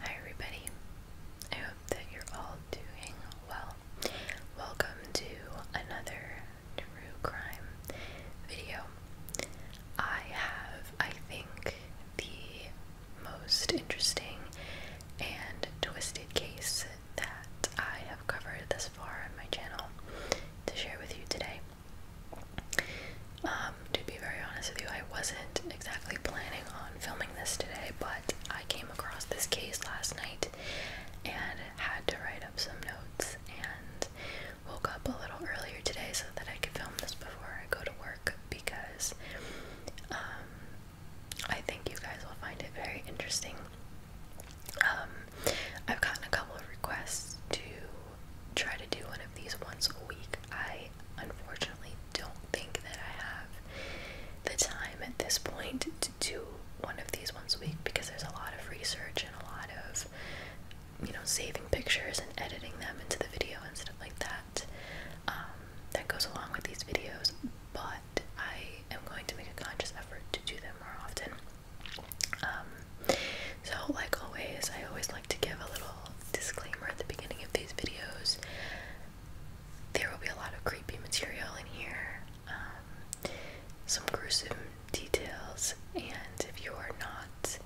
Hi, everybody. I hope that you're all doing well. Welcome to another true crime video. I have, I think, the most interesting and twisted case that I have covered thus far on my channel to share with you today. Um, to be very honest with you, I wasn't exactly planning on filming this today, but I came across this case last night and had to write up some notes and woke up a little earlier today so that I could film this before I go to work because um, I think you guys will find it very interesting. Um, I've gotten a couple of requests to try to do one of these once a week. I unfortunately don't think that I have the time at this point to do one of these once a week because there's a lot of research and a lot of you know saving pictures and editing them into the video and stuff like that. Um, that goes along with these videos, but I am going to make a conscious effort to do them more often. Um, so, like always, I always like to give a little disclaimer at the beginning of these videos. There will be a lot of creepy material in here, um, some gruesome details, and if you are not,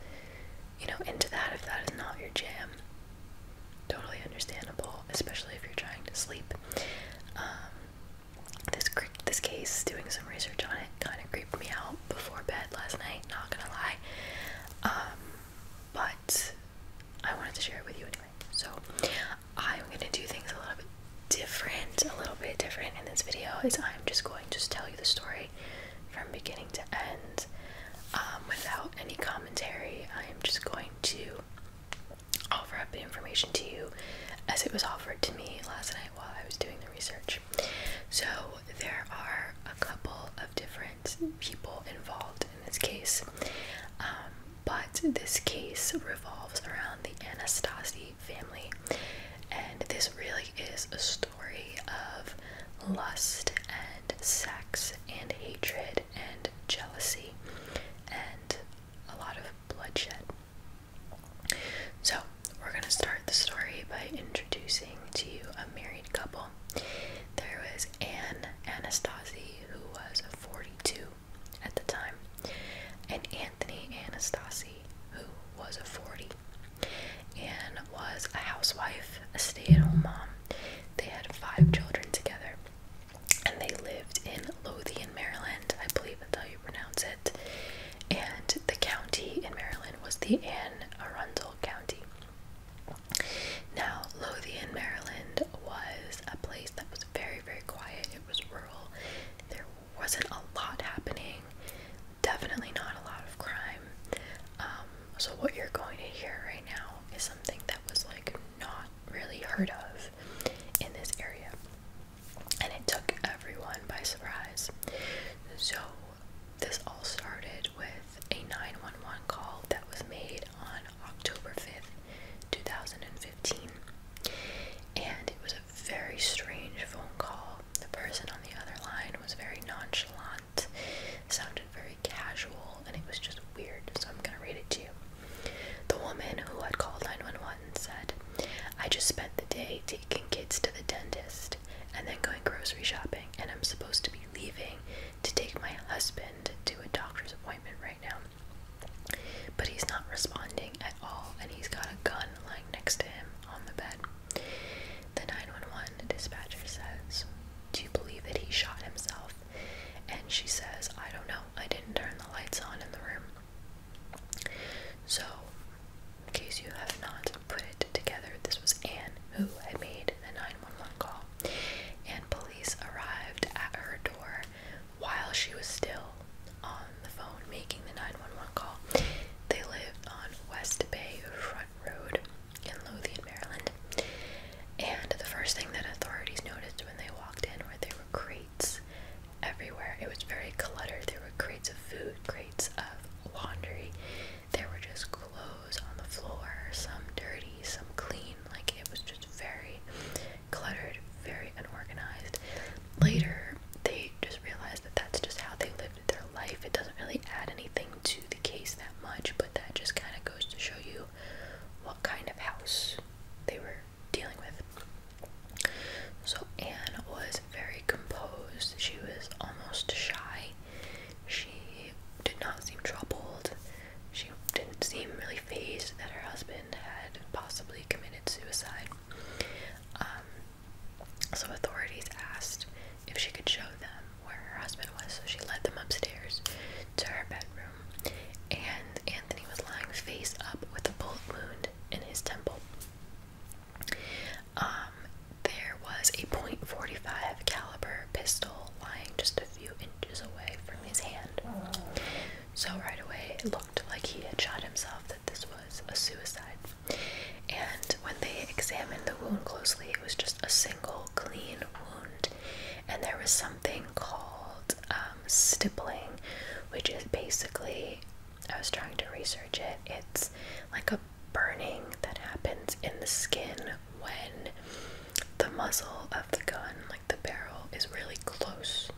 you know, into that, if that is not your jam, Totally understandable, especially if you're trying to sleep. Um, this this case, doing some research on it, kind of creeped me out before bed last night. Not gonna lie, um, but I wanted to share it with you anyway. So I'm gonna do things a little bit different, a little bit different in this video. Is I'm just going to tell you the story from beginning to end um, without any commentary. I am just going to offer up information to you as it was offered to me last night while I was doing the research. So, there are a couple of different people involved in this case, um, but this case revolves around the Anastasi family, and this really is a story of lust and sex and hatred and jealousy and a lot of bloodshed. So, we're going to start the story by introducing to you a married couple. There was Anne Anastasi, who was 42 at the time, and Anthony Anastasi, who was 40. and was a housewife, a stay at home mom. They had five children together and they lived in Lothian, Maryland. I believe that's how you pronounce it. And the county in Maryland was the Anne Arundel County. Now, Lothian, Maryland was a place that was very, very quiet. It was rural. There wasn't a lot happening. Definitely not a lot of crime. Um, so what you're going to hear right now is something that was like not really heard of in this area. And it took everyone by surprise. So, this all started with a 911 call that was made on October 5th, 2015. And it was a very strange phone call. The person on the other line was very nonchalant, sounded very casual and it was just weird, so I'm gonna read it to you. The woman who had called 911 said, I just spent the day taking kids to the dentist and then going grocery shopping, and I'm supposed to be leaving to take my husband to a doctor's appointment right now. But he's not responding at all, and he's got a gun lying next to him on the bed. The 911 dispatcher says, Do you believe that he shot himself? And she says, I don't know, I didn't turn the lights on in the room. So, in case you have not put it together, this was Anne who had made the 911 call. And police arrived at her door while she was still on the phone making the 911 call. They lived on West Bay Front Road in Lothian, Maryland. And the first thing that authorities noticed when they walked in were there were crates everywhere. It was very cluttered. There were crates of food, crates of laundry. There were just clothes on the floor, some dirty, some clean. Like it was just very cluttered, very unorganized. Later, they just realized that that's just how they lived their life. It doesn't really add anything to the case that much, but that just kind of goes to show you what kind of house they were dealing with. So Anne was very composed. She was almost shy. She did not seem troubled. She didn't seem really phased that her husband had possibly committed suicide. Um, so authorities asked if she could show them where her husband was. So she led them upstairs to her bedroom and Anthony was lying face up with a bullet wound in his temple. Um, there was a .45 caliber pistol lying just a few inches away from his hand. So right away, it looked like he had shot himself. That this was a suicide. And when they examined the wound closely, it was just a single clean wound and there was something called um, stippling, which is basically I was trying to research it. It's like a burning that happens in the skin when the muzzle of the gun, like the barrel, is really close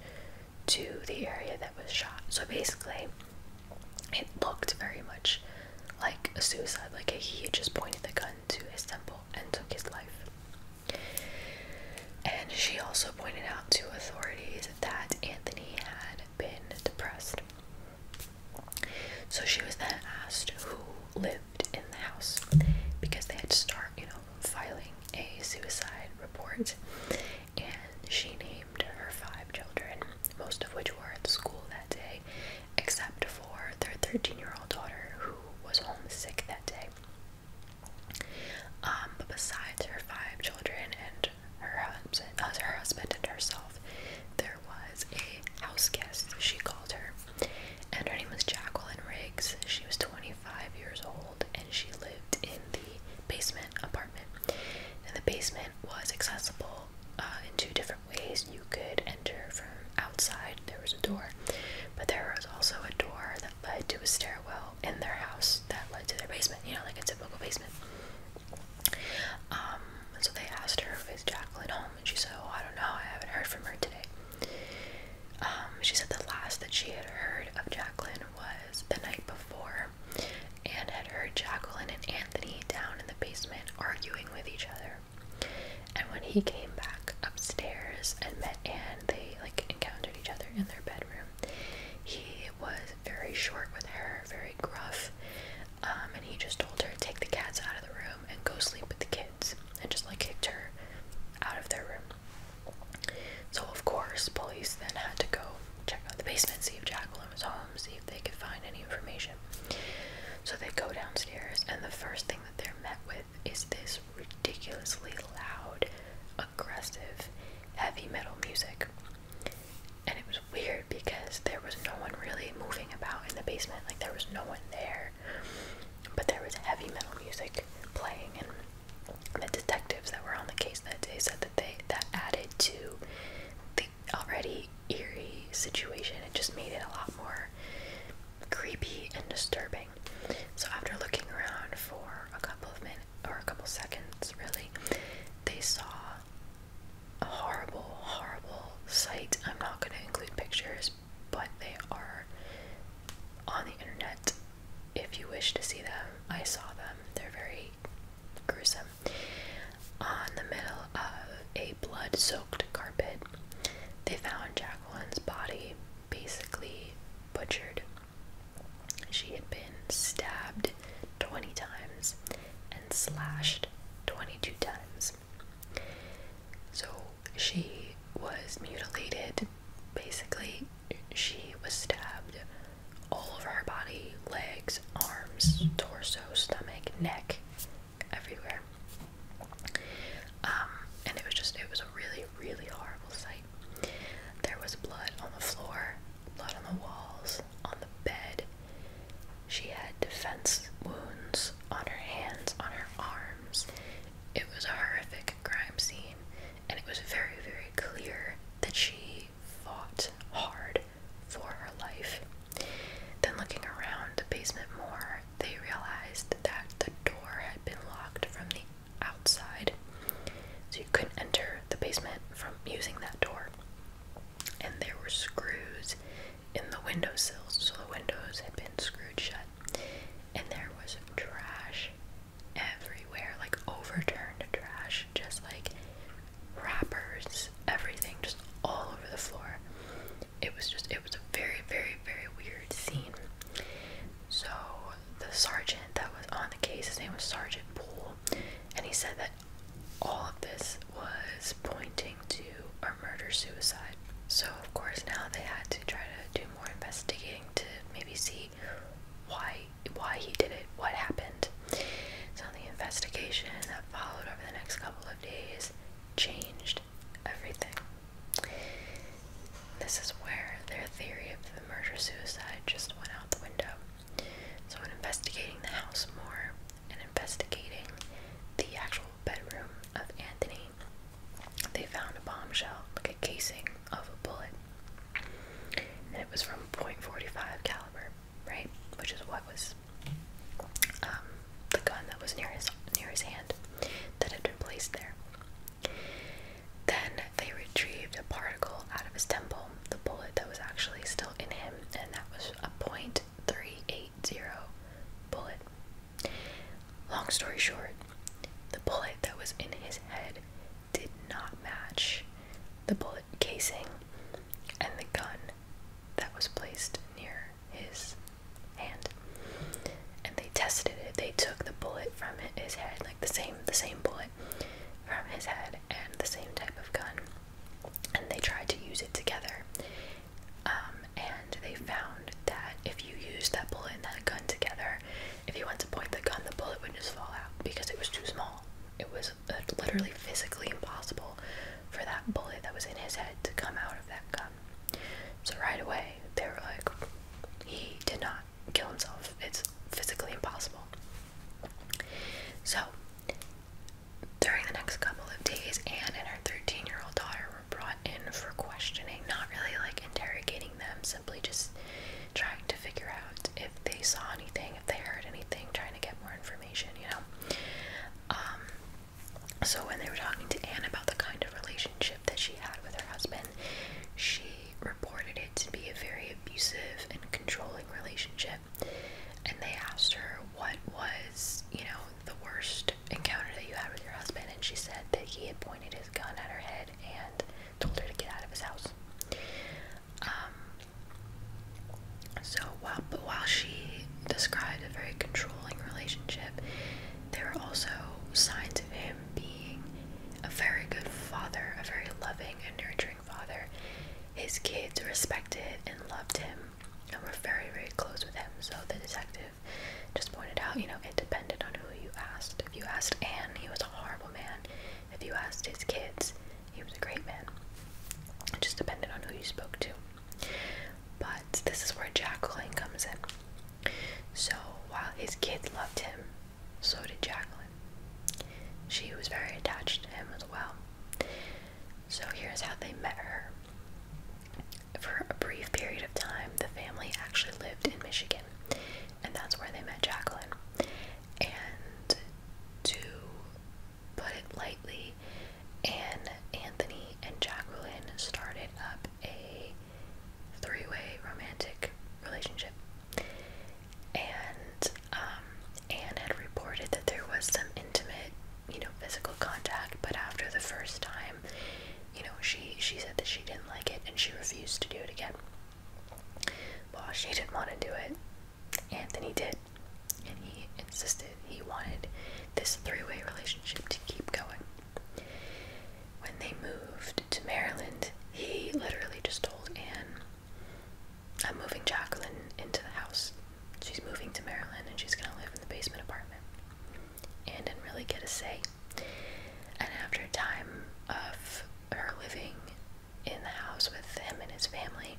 to the area that was shot. So basically, it looked very much like a suicide, like he just pointed the gun to his temple and took his life. And she also pointed out to authorities that Anthony had been depressed. So she was then asked who lived in the house because they had to start, you know, filing a suicide report. And she named her five children, most of which were at school that day, except for their 13 year old daughter who was homesick that day. Um, but besides her five children and her husband, uh, her husband and herself, there was a house guest, she called her, and her name was Jacqueline Riggs. She was 25 years old and she lived in the basement apartment. And the basement was accessible uh, in two different ways. You could enter from outside there was a door but there was also a door that led to a stairwell in their house that led to their basement you know like a typical basement um, so they asked her if is jacqueline home and she said oh i don't know i haven't heard from her today um, she said the last that she had heard of jacqueline was the night before and had heard jacqueline and anthony down in the basement arguing with each other and when he came back upstairs and met Anne, they like encountered each other in their bedroom. He was very short with her, very gruff, um, and he just told her to take the cats out of the room and go sleep with the kids, and just like kicked her out of their room. So of course, police then had to go check out the basement, see if Jacqueline was home, see if they could find any information. So they go downstairs, and the first thing that they're met with is this ridiculously loud, aggressive heavy metal music. And it was weird because there was no one really moving about in the basement, like, there was no one there. But there was heavy metal music playing, and the detectives that were on the case that day said that they that added to the already eerie situation. It just made it a lot more creepy and disturbing. So after looking around for a couple of minutes or a couple seconds, really, they saw a horrible, horrible sight. I'm not going to include pictures, but they are on the internet. If you wish to see them, I saw them. They're very gruesome. On the middle of a blood soaked carpet, they found Jack One's body basically butchered. She had been stabbed 20 times and slashed 22 times. So she was mutilated. Basically, she was stabbed all over her body legs, arms, torso, stomach, neck, everywhere. Um, and it was just, it was a really, really horrible sight. There was blood on the floor, blood on the walls, on the bed. She had defense wounds on her hands, on her arms. It was a horrific crime scene, and it was very, very clear that she fought hard for her life. Then, looking around the basement more, they realized that the door had been locked from the outside, so you couldn't enter the basement from using that door. And there were screws in the window windowsills, so the windows had been screwed shut. And there was trash everywhere, like overturned trash, just like wrappers, everything, just all over the floor it was just it was a very very very weird scene so the sergeant that was on the case his name was sergeant poole and he said that all of this was pointing to a murder suicide so of course now they had to try to do more investigating to maybe see why why he did it what happened so the investigation that followed over the next couple of days changed everything. This is where their theory of the murder suicide just went out the window. So, when investigating the house more and investigating the actual bedroom of Anthony, they found a bombshell, like a casing of a bullet. And it was from .45 caliber, right? Which is what was um, the gun that was near his near his hand that had been placed there. Then they retrieved a particle out of his temple, the bullet that was actually still in him, and that was a .380 bullet. Long story short, the bullet that was in his head did not match the bullet casing and the gun that was placed near his hand. And they tested it. They took the bullet from his head, like the same the same bullet from his head and the same type of gun. And they tried to use it together. Um, and they found that if you use that bullet and that gun together, if you went to point the gun, the bullet would just fall out because it was too small. It was uh, literally physically impossible for that bullet that was in his head to come out of that gun. So right away, they were like, he did not kill himself. It's physically impossible. So, during the next couple of days, Anne and her 13 year old daughter were brought in for questioning, not really like interrogating them, simply just trying to figure out if they saw anything, if they heard anything, trying to get more information, you know. Um, so when they were talking to Anne about the kind of relationship that she had with her husband, she reported it to be a very abusive and controlling relationship. And they asked her what was, you know, the worst encounter that you had with your husband, and she said that he had pointed his gun at her head and told her to get out of his house. Um, so while but while she described a very controlling relationship, there were also signs of him being a very good father, a very loving and nurturing father. His kids respected and loved him and were very, very close with him. So the detective just pointed out, you know, it depended on who you asked. If you asked Anne, he was a horrible man. If you asked his kids, he was a great man. It just depended on who you spoke to. But this is where Jacqueline comes in. So while his kids loved him, so did Jacqueline. She was very attached to him as well. So here's how they met her. For a brief period of time, the family actually lived in Michigan, and that's where they met Jacqueline. And to put it lightly, Anne, Anthony, and Jacqueline started up a three way romantic relationship. And um, Anne had reported that there was some intimate, you know, physical contact, but after the first time, you know, she, she said that she didn't like it and she refused to do it again. Well, she didn't want to do it. and he did. And he insisted he wanted this three way relationship to keep going. When they moved to Maryland, he literally just told Anne, I'm moving Jacqueline into the house. She's moving to Maryland and she's going to live in the basement apartment. Anne didn't really get a say. And after a time of her living in the house with him and his family,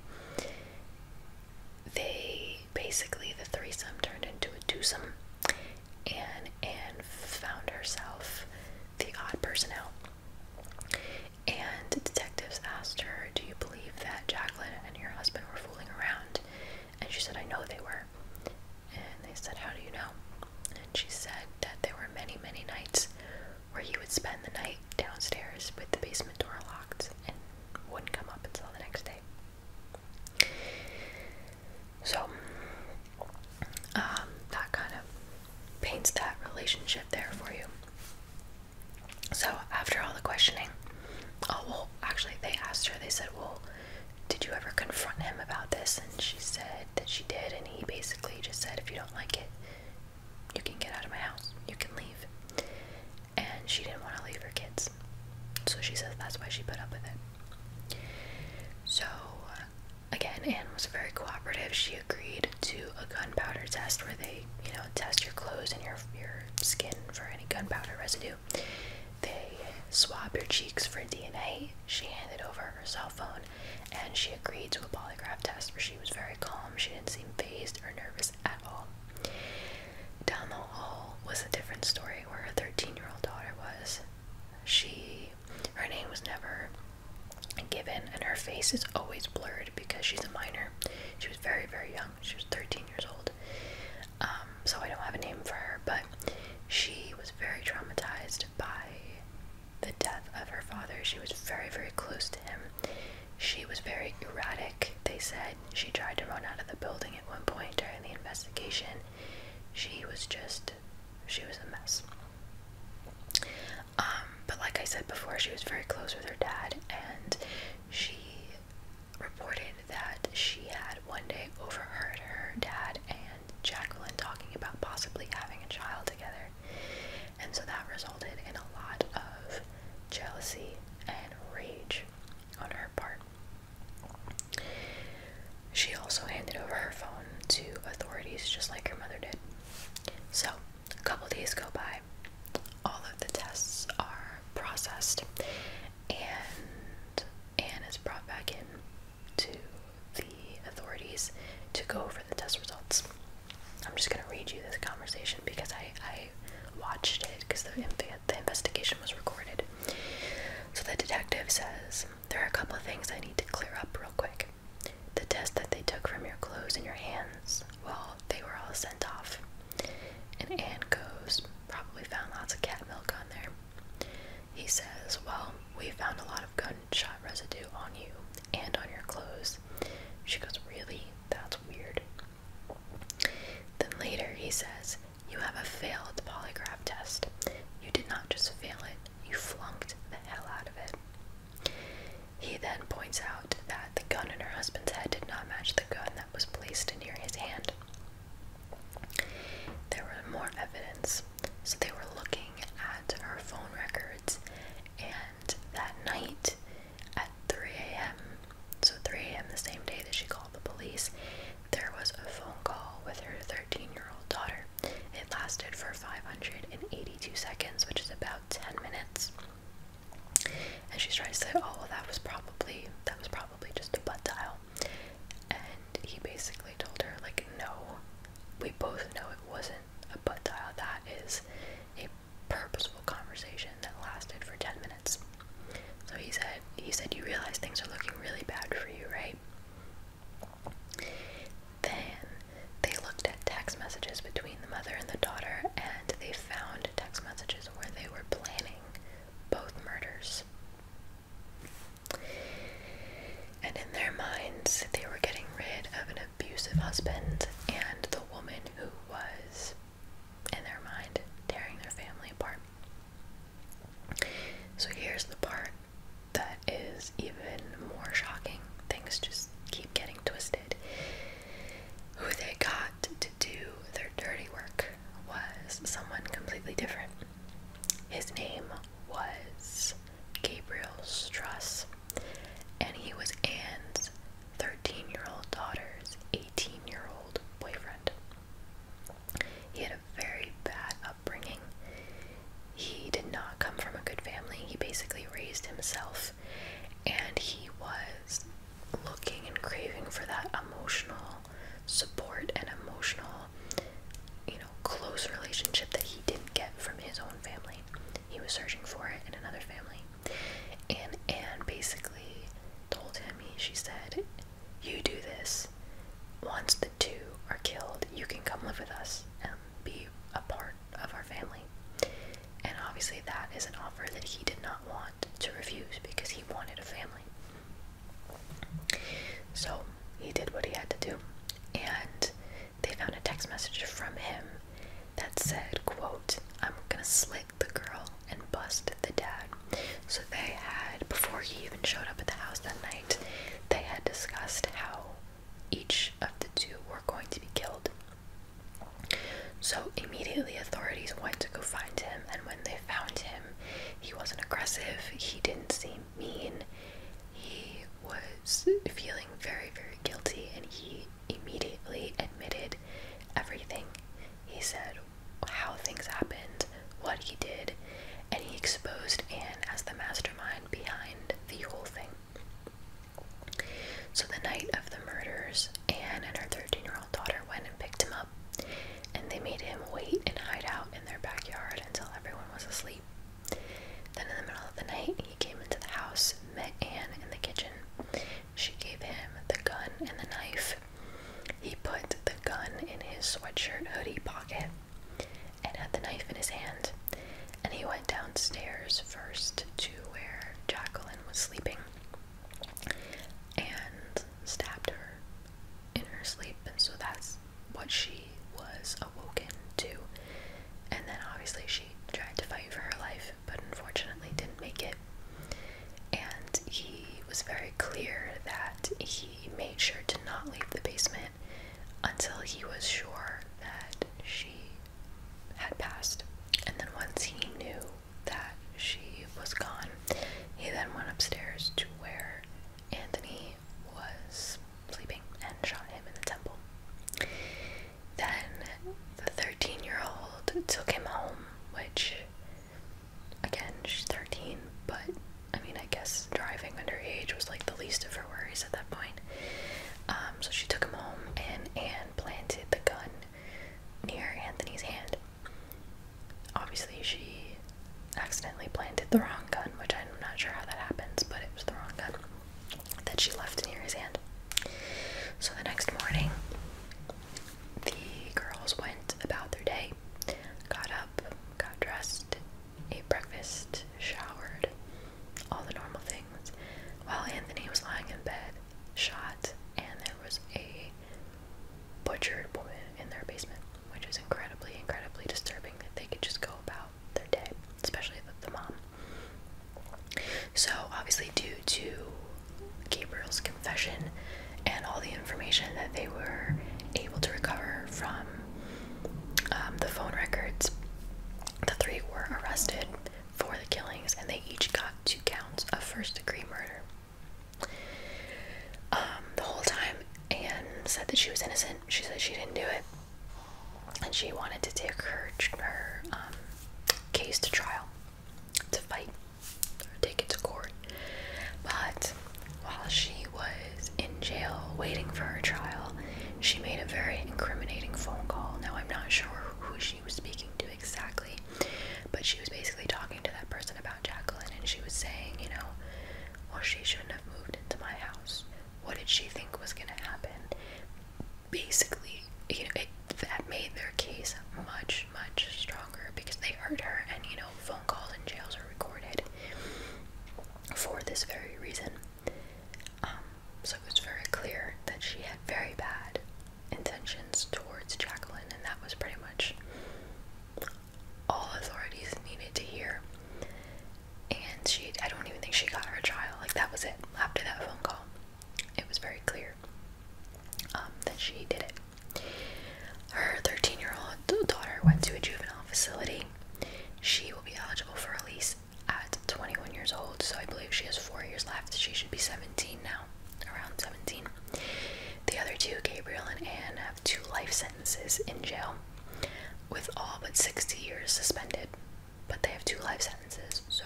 they basically the threesome turned into a twosome, and Anne found herself the odd person out. And detectives asked her, "Do you believe that Jacqueline and your husband were fooling around?" And she said, "I know they were." And they said, "How do you know?" And she said that there were many, many nights where he would spend the night downstairs with the basement door locked and wouldn't come up until the next day. So, um, that kind of paints that relationship there for you. So, after all the questioning, oh, actually, they asked her, they said, Well, did you ever confront him about this? And she said that she did, and he basically just said, If you don't like it, you can get out of my house, you can leave. And she didn't want to leave her kids. So she says that's why she put up with it. So, uh, again, Anne was very cooperative. She agreed to a gunpowder test where they, you know, test your clothes and your, your skin for any gunpowder residue. They swab your cheeks for DNA. She handed over her cell phone and she agreed to a polygraph test where she was very calm. She didn't seem phased or nervous at all. Down the hall was a different story where her 13 year old daughter was. She, her name was never given, and her face is always blurred because she's a minor. She was very, very young. She was 13 years old. Um, so I don't have a name for her, but she was very traumatized by the death of her father. She was very, very close to him. She was very erratic, they said. She tried to run out of the building at one point during the investigation. She was just, she was a mess. Um, but like I said before, she was very close with her dad, and she reported that she had one day overheard her dad and Jacqueline talking about possibly having a child together. And so that resulted in a lot of jealousy and rage on her part. She also handed over her phone to authorities just like her mother did. So, a couple days go by, all of the tests are processed, and Anne is brought back in to the authorities to go over the test results. I'm just going to read you this conversation because I, I watched it because the, the investigation was recorded. So the detective says, There are a couple of things I need to clear up real quick. The test that they took from your clothes and your hands, well, they were all sent off. And Anne goes, Probably found lots of cat milk on there. He says, Well, we found a lot of gunshot residue on you and on your clothes. She goes, Really? That's weird. Then later he says, You have a failed polygraph test. You did not just fail it, you flunked the hell out of it. He then points out that the gun in her husband's head did not match the gun that was placed near his hand. There were more evidence, so they were looking at her phone records, and that night at 3 a.m., so 3 a.m. the same day that she called the police, there was a phone call with her 13-year-old daughter. It lasted for 582 seconds, which is about 10 minutes. And she's trying to say, "Oh, that was probably that was probably just a butt dial." And he basically told her, like, "No, we both know it wasn't a butt dial. That is a purposeful conversation that lasted for 10 minutes." So he said, he said, you realize things are looking really bad for you, right? Then they looked at text messages between the mother and the daughter, and they found text messages where they were planning both murders. And in their minds, they were getting rid of an abusive husband and the woman who was in their mind, tearing their family apart. So here's the part that is even more shocking. Things just keep getting twisted. Who they got to do their dirty work was someone completely different. His name was Gabriel Struss, and he was Anne's 13 year old daughter's 18 year old boyfriend. He had a very bad upbringing. He did not come from a good family. He basically raised himself and he was looking and craving for that emotional support and emotional, you know, close relationship that he didn't get from his own family. He was searching for it in another family. And Anne basically told him, she said, you do this. Once the two are killed, you can come live with us and be a part of our family. And obviously, that is an offer that he did not want to refuse because he wanted a family. So he did what he had to do, and they found a text message from him that said, quote, I'm gonna slit the girl and bust the dad. So they had, before he even showed up at the house that night, they had discussed how each of the two were going to be killed. So immediately authorities went to go find him, and when they found him, he wasn't aggressive, he didn't seem mean, he was feeling very, very guilty, and he immediately admitted everything. He said how things happened, what he did, and he exposed Anne as the mastermind behind the whole thing. So the night of the murders, Anne and her 13-year-old daughter went and picked him up, and they made him wait and hide out in their backyard until everyone was asleep. Then in the middle of the night, he came into the house, met Anne in the kitchen, she gave him the gun and the knife. He put the gun in his sweatshirt hoodie pocket and had the knife in his hand. And he went downstairs first to where Jacqueline was sleeping and stabbed her in her sleep. And so that's what she was awoken to. And then obviously she tried to fight for her life, but unfortunately didn't make it and he was very clear that he made sure to not leave the basement until he was sure that she had passed. And then once he knew that she was gone, he then went upstairs to where Anthony was sleeping and shot him in the temple. Then the 13 year old took him home, which Again, she's 13, but I mean, I guess driving underage was like the least of her worries at that point. Um, so she took him home, and Anne planted the gun near Anthony's hand. Obviously, she accidentally planted the wrong gun, which I'm not sure how that happens, but it was the wrong gun that she left near his hand. So the next morning, the girls went about their day, got up, got dressed, ate breakfast, showered, all the normal things, while Anthony was lying in bed, shot, and there was a butchered woman in their basement, which is incredibly, incredibly disturbing that they could just go about their day, especially the, the mom. So, obviously, due to Gabriel's confession and all the information that they were able to recover from um, the phone records. The three were arrested for the killings and they each got two counts of first degree murder. Um, the whole time, and said that she was innocent. She said she didn't do it. And she wanted to take her, um, case to trial to fight or take it to court. But while she was in jail waiting for her trial, she made a very incriminating phone call. Now, I'm not sure who she was speaking to exactly, but she was basically talking to that person about Jacqueline and she was saying, you know, well, she shouldn't have moved into my house. What did she think was going to happen? Basically, you know, it, that made their case much much, stronger because they hurt her, and you know, phone calls and jails are recorded for this very reason. Um, so it was very clear that she had very bad intentions towards Jacqueline, and that was pretty much all authorities needed to hear. And she, I don't even think she got her trial, like, that was it after that phone call. It was very clear um, that she did it. Her 13 year old daughter went to a juvenile facility. She will be eligible for release at 21 years old, so I believe she has four years left. She should be 17 now, around 17. The other two, Gabriel and Anne, have two life sentences in jail, with all but 60 years suspended. But they have two life sentences, so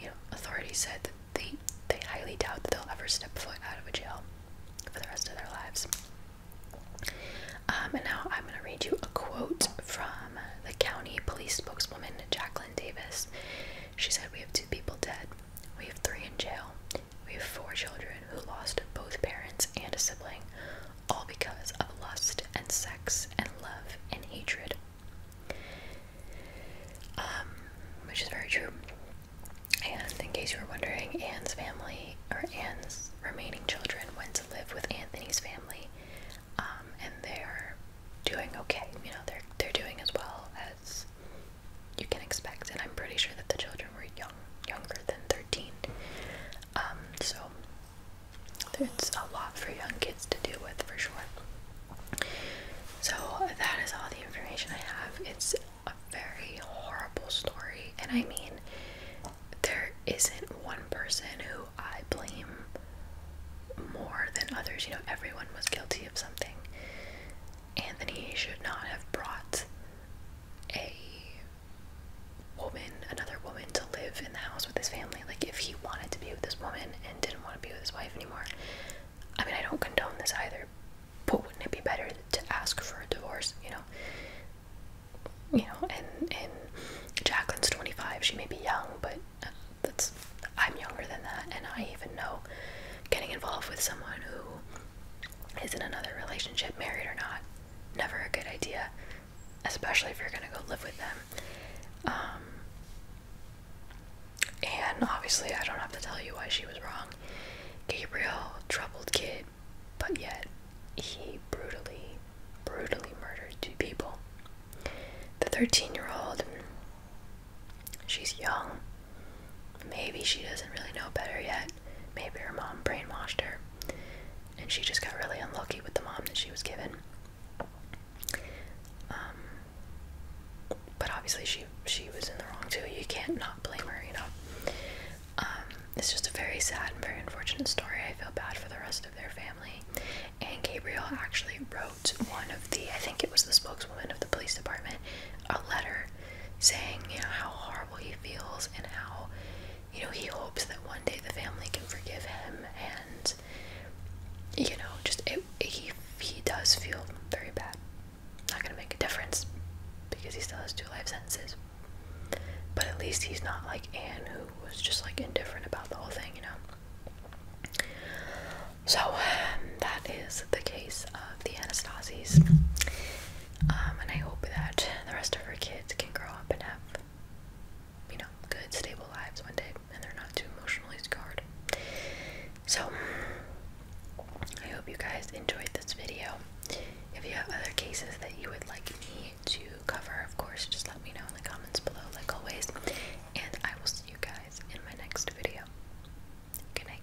you know, authorities said that they they highly doubt that they'll ever step foot out of a jail for the rest of their lives. Um, and now I'm going to read you a quote from the county police spokeswoman Jacqueline Davis. She said, "We have two people dead. We have three in jail. We have four children who lost both parents and a sibling, all because of lust and sex and love and hatred." Um, which is very true. And in case you were wondering, Anne's family or Anne's remaining children went to live with Anthony's family, um, and they're doing okay. You know, they're they're doing as well as you can expect. And I'm pretty sure that the children were young, younger than 13. Um, so it's a lot for young kids to deal with for sure. So that is all the information I have. It's a very horrible story, and I mean, there isn't one person who I blame more than others. You know, everyone was guilty of something. and he should not have brought a woman, another woman, to live in the house with his family. Like, if he wanted to be with this woman and didn't want to be with his wife anymore, I mean, I don't condone this either, but wouldn't it be better to ask for a divorce you know you know and and Jacqueline's 25 she may be young but uh, that's I'm younger than that and I even know getting involved with someone who is in another relationship married or not never a good idea especially if you're gonna go live with them um, and obviously, I don't have to tell you why she was wrong. Gabriel, troubled kid, but yet he brutally, brutally murdered two people. The 13 year old, she's young. Maybe she doesn't really know better yet. Maybe her mom brainwashed her. And she just got really unlucky with the mom that she was given. Um, but obviously she she was in the wrong too. You can't not blame her, you know. Um, it's just a very sad and very unfortunate story. I feel bad for the rest of their family. And Gabriel actually wrote one of the I think it was the spokeswoman of the police department a letter saying, you know, how horrible he feels and how you know, he hopes that one day the family can forgive him, and you know, just it, he he does feel very bad not gonna make a difference because he still has two life sentences. But at least he's not like Anne, who was just like indifferent about the whole thing, you know. So that is the case of the Anastasies, um, and I hope that the rest of her kids can grow up and have, you know, good, stable lives one day, and they're not too emotionally scarred. So, I hope you guys enjoyed this video. If you have other cases that you would like me to cover, of course, just let me know in the comments below, like always. And I will see you guys in my next video. Good night.